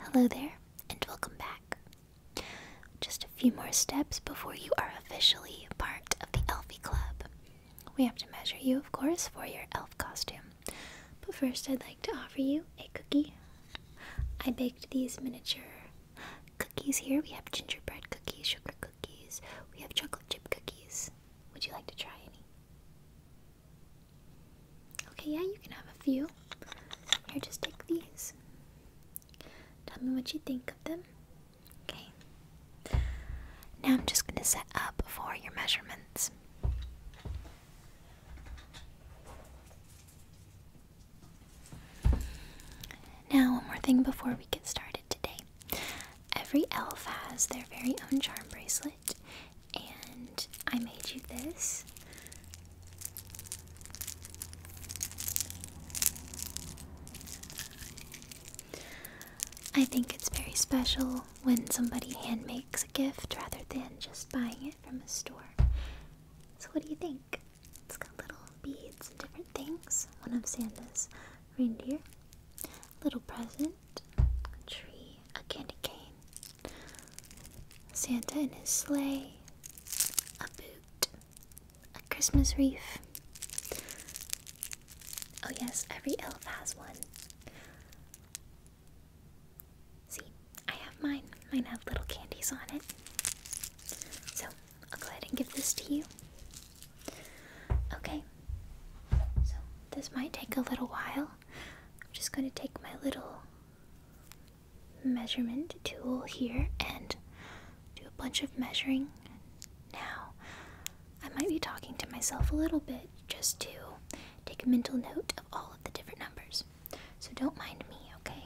Hello there, and welcome back. Just a few more steps before you are officially part of the Elfie Club. We have to measure you, of course, for your elf costume. But first, I'd like to offer you a cookie. I baked these miniature cookies here. We have gingerbread cookies, sugar cookies, we have chocolate chip cookies. Would you like to try any? Okay, yeah, you can have a few. Here, just take these. Tell me what you think of them. Okay. Now I'm just going to set up for your measurements. Now, one more thing before we get started today. Every elf has their very own charm bracelet and I made you this. I think it's very special when somebody hand makes a gift rather than just buying it from a store. So, what do you think? It's got little beads and different things. One of Santa's reindeer, a little present, a tree, a candy cane, Santa and his sleigh, a boot, a Christmas wreath. Oh, yes, every elf has one. See, I have mine. Mine have little candies on it. So, I'll go ahead and give this to you. Okay, so this might take a little while. I'm just going to take my little measurement tool here and do a bunch of measuring. Now, I might be talking to myself a little bit just to take a mental note of all of the different numbers. So don't mind me, okay?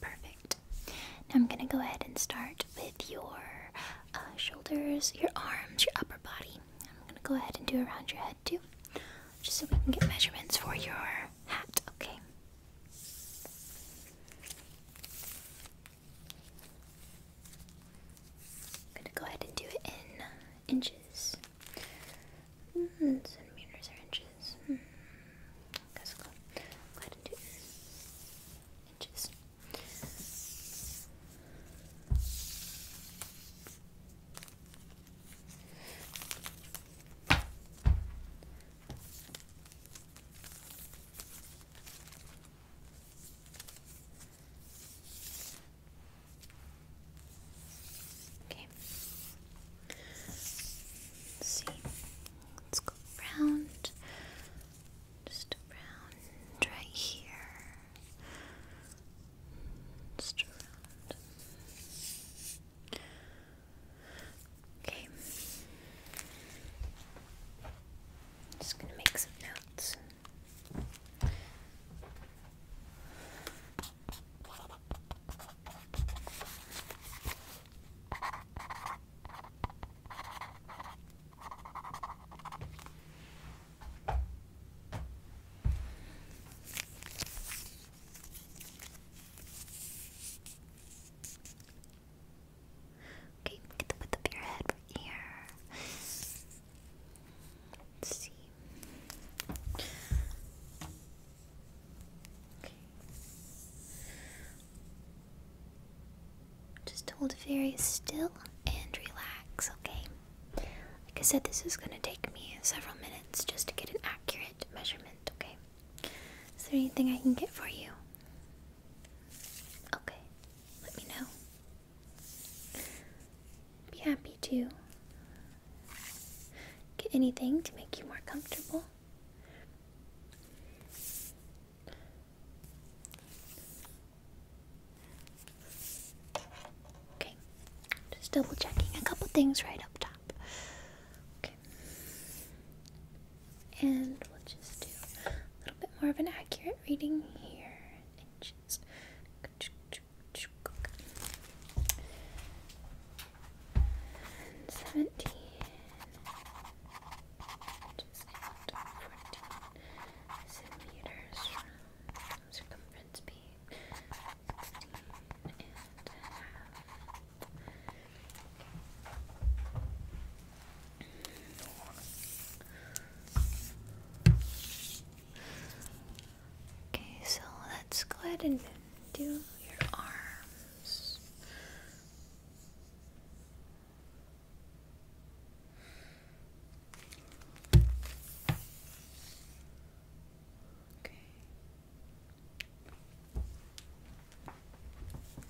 Perfect. Now I'm going to go ahead and start with your uh, shoulders, your arms, your upper body. I'm going to go ahead and do around your head too, just so we can get measurements for your hat, okay? I'm gonna go ahead and do it in inches. centimeters hmm, or inches. Hmm, go ahead and do inches. Okay. Let's see. go around. Just around right here. Just around. Okay. Just gonna make some notes. Okay, get the width of your head right here. Let's see. Okay. Just hold very still and relax, okay? Like I said, this is going to take me several minutes just to get an accurate measurement, okay? Is there anything I can get for you? Okay, let me know. Be happy to get anything to make you more comfortable. Okay, just double checking a couple things right up top. Okay. And we'll just do a little bit more of an accurate reading here. just seventeen. Just fourteen centimeters from circumference B. Sixteen and a half. Okay, so let's go ahead and do your arms. Okay.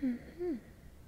Mm -hmm. hmm.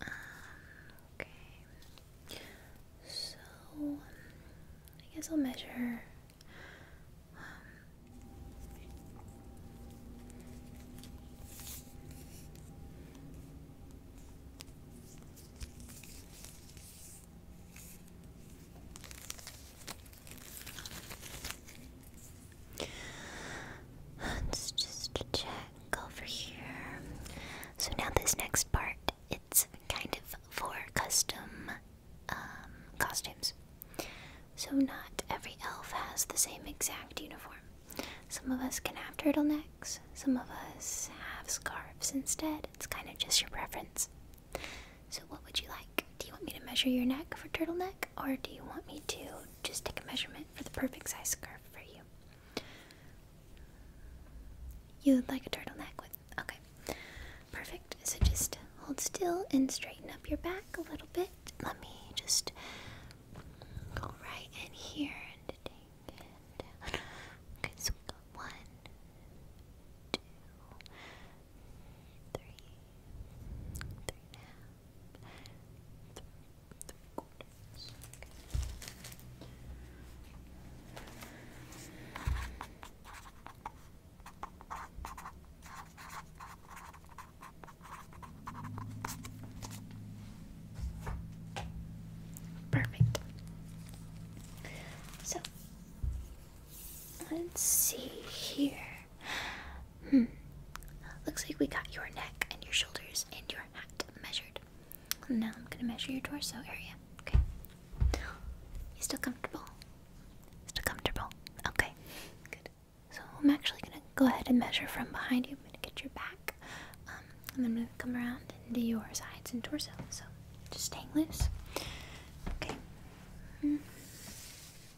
Uh, okay. So I guess I'll measure. Um, Let's just check over here. So now this next part, it's kind of for custom um, costumes. So not every elf has the same exact uniform. Some of us can have turtlenecks. Some of us have scarves instead. It's kind of just your preference. So, what would you like? Do you want me to measure your neck for turtleneck, or do you want me to just take a measurement for the perfect size scarf for you? You would like a turtleneck with. Okay. Perfect. So, just hold still and straighten up your back a little bit. Let me just go right in here and take it down. Okay, so one, two, three, three and a half, three, three quarters. Perfect. So let's see here. Hmm. Looks like we got your neck and your shoulders and your hat measured. Now I'm gonna measure your torso area. Okay. You still comfortable? Still comfortable? Okay. Good. So I'm actually gonna go ahead and measure from behind you. I'm gonna get your back. Um, and then I'm gonna come around and do your sides and torso. So just staying loose. Okay. Mm.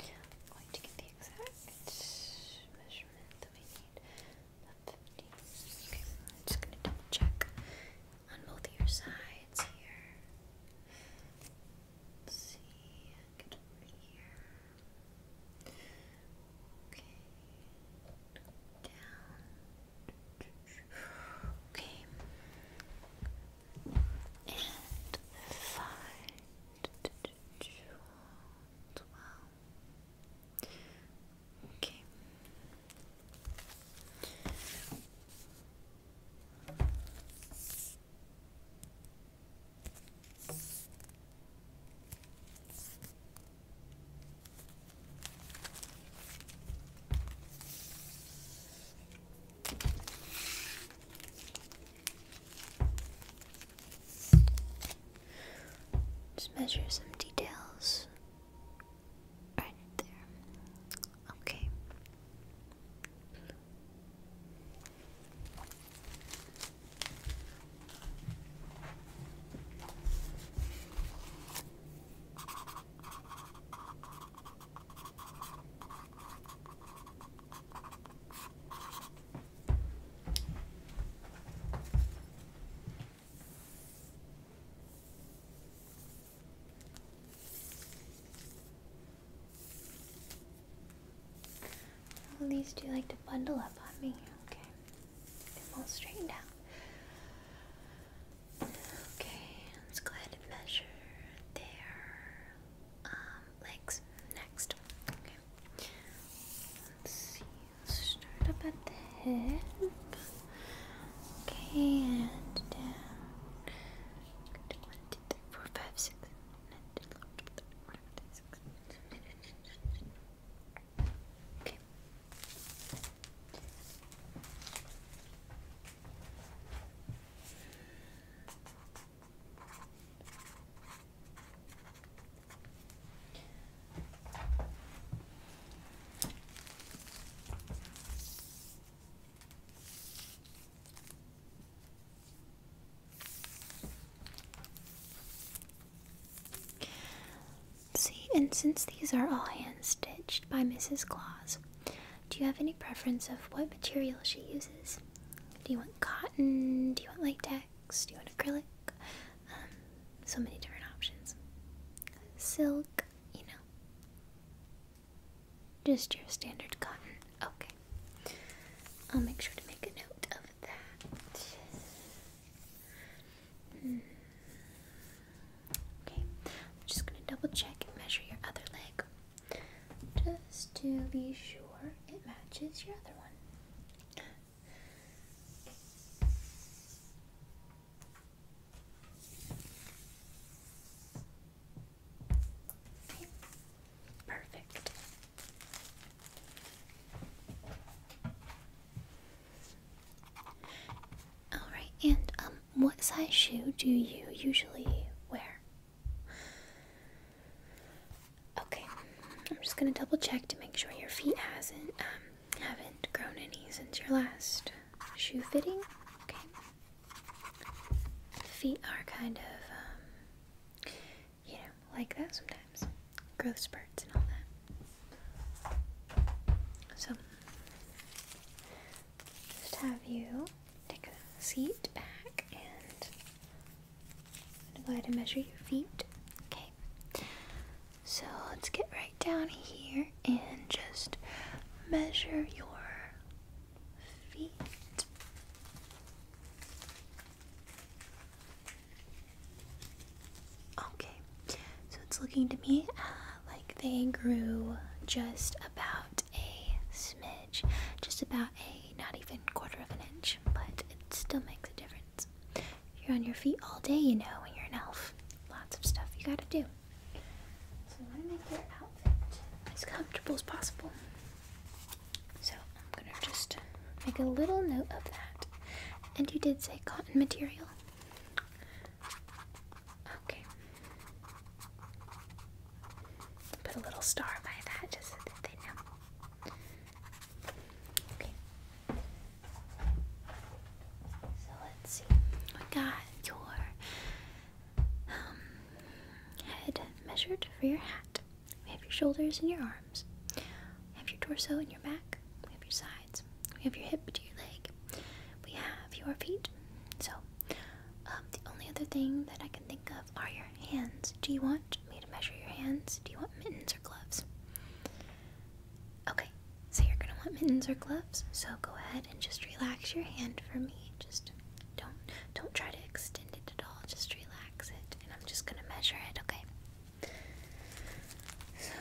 I'm going to get the exact measurement that we need. Okay, I'm just going to double check on both your sides here. Let's see, Okay, down. Okay, and five around. Wow. Okay. Just measure some details right there. Okay. At least you like to bundle up on me, okay? i all straightened out. Okay, let's go ahead and measure their um, legs next. Let's see. start up at the hip. Okay, and down. One, two, three, four, five, six. Okay. See, and since these are all hand stitched by Mrs. Claus, do you have any preference of what material she uses? Do you want cotton? Do you want like do you want acrylic? Um, so many different options. Silk, you know. Just your standard cotton. Okay. I'll make sure to make a note of that. Hmm. Okay. I'm just going to double check and measure your other leg. Just to be sure it matches your other one. Perfect. All right, and um, what size shoe do you usually wear? Okay, I'm just gonna double check to make sure your feet hasn't um, haven't grown any since your last shoe fitting. Okay, feet are kind of um, you know like that sometimes, growth spurts and all that. So just have you take a seat back and I'm gonna go ahead and measure your feet. Okay. So let's get right down here and just measure your feet. Okay, so it's looking to me uh, like they grew just about a smidge, just about a not even quarter of an inch, but it still makes a difference. You're on your feet all day, you know, when you're an elf. Lots of stuff you gotta do. So I want to make your outfit as comfortable as possible. So I'm gonna just make a little note of that. And you did say cotton material. Okay. Put a little star by that just so they know. So let's see. We got your um, head measured for your hat. We have your shoulders and your arms. We have your torso and your back. We have your sides. We have your hip to your leg. We have your feet. So um, the only other thing that I can think of are your hands. Do you want me to measure your hands? Do you want mittens or gloves? Okay, so you're gonna want mittens or gloves. So go ahead and just relax your hand for me. Just don't don't try to extend it at all. Just relax it, and I'm just gonna measure it. Okay. So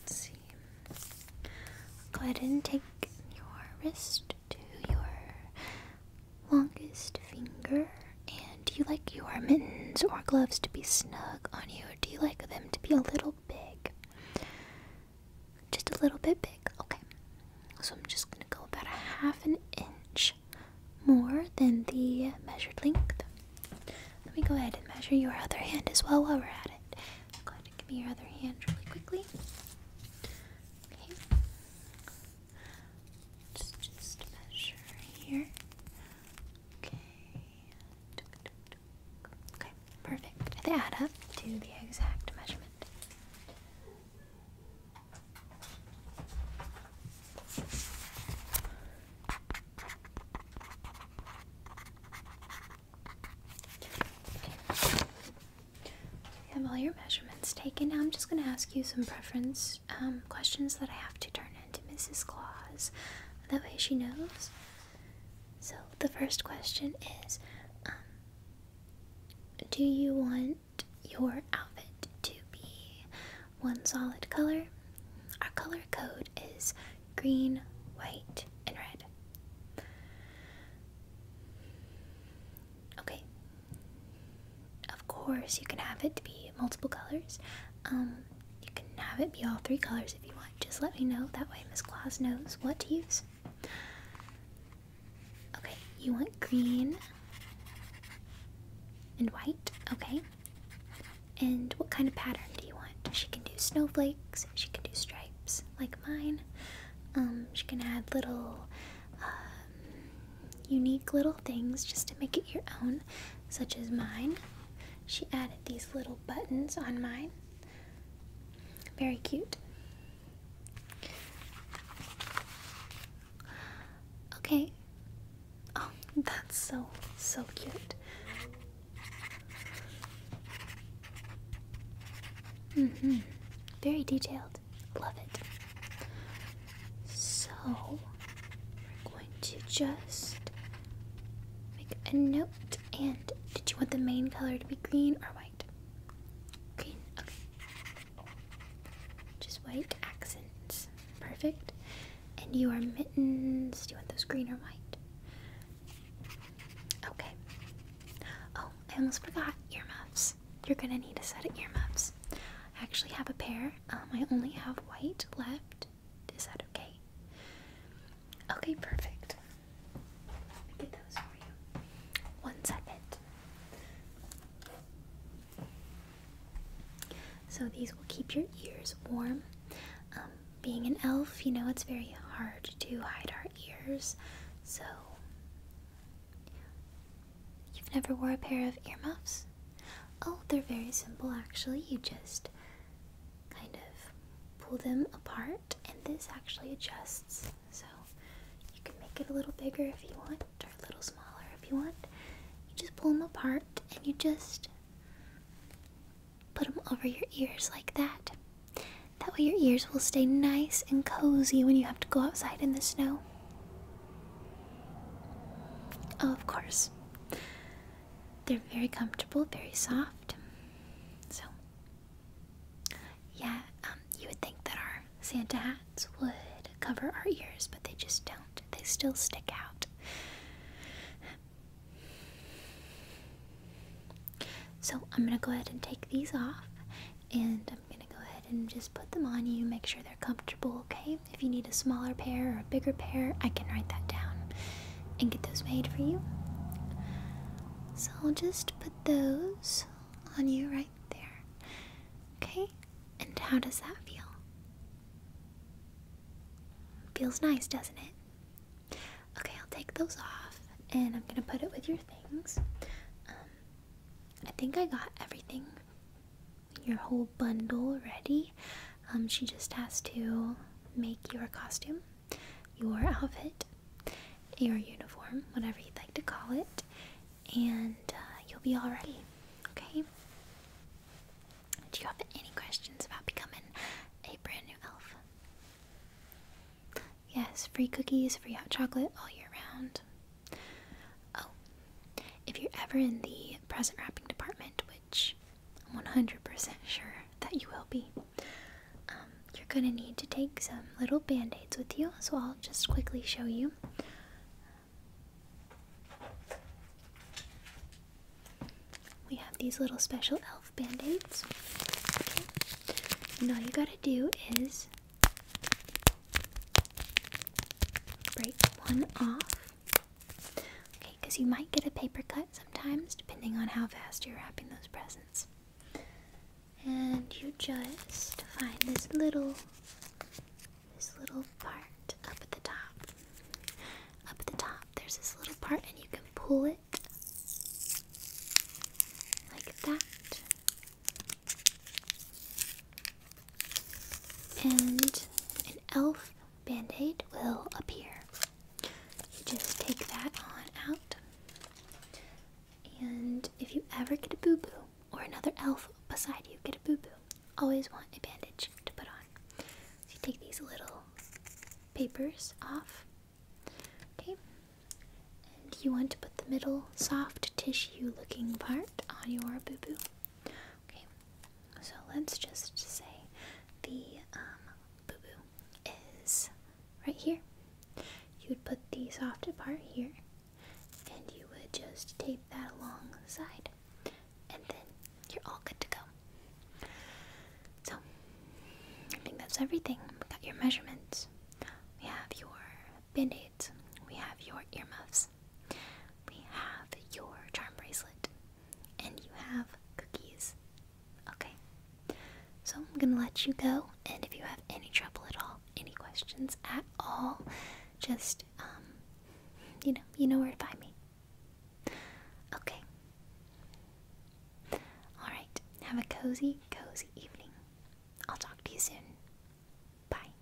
let's see. Go ahead and take your wrist to your longest finger? And do you like your mittens or gloves to be snug on you? Or do you like them to be a little big? Just a little bit big? Okay. So I'm just going to go about a half an inch more than the measured length. Let me go ahead and measure your other hand as well while we're at it. Go ahead give me your other hand really quickly. Let's just measure here. Okay. Okay, perfect. They add up to the exact measurement. Okay. have all your measurements taken. Now I'm just going to ask you some preference um, questions that I have to turn into Mrs. Claus. That way she knows. So the first question is um, Do you want your outfit to be one solid color? Our color code is green, white, and red. Okay, of course, you can have it to be multiple colors. Um, you can have it be all three colors if you want. Just let me know. That way, Miss Claus knows what to use. Okay, you want green and white. Okay. And what kind of pattern do you want? She can do snowflakes. She can do stripes like mine. Um, she can add little um, unique little things just to make it your own, such as mine. She added these little buttons on mine. Very cute. Okay. Oh, that's so, so cute. hmm Very detailed. Love it. So we're going to just make a note. And did you want the main color to be green or white? Green, okay. Just white accents. Perfect. And your mittens, do you want those green or white? Okay. Oh, I almost forgot Ear muffs. You're gonna need a set of ear muffs. I actually have a pair um, I only have white left. Is that okay? Okay, perfect. One second. So these will keep your ears warm. Um, being an elf, you know, it's very hard to hide our ears. So You've never wore a pair of earmuffs? Oh, they're very simple actually. You just kind of pull them apart, and this actually adjusts. So you can make it a little bigger if you want, or a little smaller if you want. You just pull them apart and you just put them over your ears like that. That way, your ears will stay nice and cozy when you have to go outside in the snow. Oh, of course. They're very comfortable, very soft. So, yeah, um, you would think that our Santa hats would cover our ears, but they just don't. They still stick out. So, I'm gonna go ahead and take these off, and I'm gonna go ahead and just put them on you, make sure they're comfortable, okay? If you need a smaller pair or a bigger pair, I can write that down and get those made for you. So I'll just put those on you right there. Okay? And how does that feel? Feels nice, doesn't it? Okay, I'll take those off and I'm gonna put it with your things. Um, I think I got everything your whole bundle ready. Um, she just has to make your costume, your outfit, your uniform, whatever you'd like to call it, and uh, you'll be all ready. Okay? Do you have any questions about becoming a brand new elf? Yes, free cookies, free hot chocolate all year round. Oh, if you're ever in the present wrapping department, which I'm 100% sure that you will be, um, you're gonna need to take some little band aids with you, so I'll just quickly show you. We have these little special elf band aids. And all you gotta do is break one off. Okay, because you might get a paper cut sometimes, depending on how fast you're wrapping those presents. And you just find this little, this little part up at the top. Up at the top, there's this little part, and you can pull it like that. And an elf band-aid will appear. You just take that on out. And if you ever get a boo-boo or another elf beside you get a boo-boo, always want a bandage to put on. you take these little papers off. Okay. And you want to put the middle soft tissue looking part on your boo-boo. Okay. So let's just say the um, boo boo is right here. You'd put these the softer part here and you would just tape that along the side, and then you're all good to go. So, I think that's everything. We got your measurements, we have your band aids, we have your earmuffs. We have your charm bracelet. And you have cookies. Okay. So I'm going to let you go. And if you have any trouble at all, any questions at all, just, um, you know, you know where to find me. Okay. Alright. Have a cozy, cozy evening. I'll talk to you soon. Bye.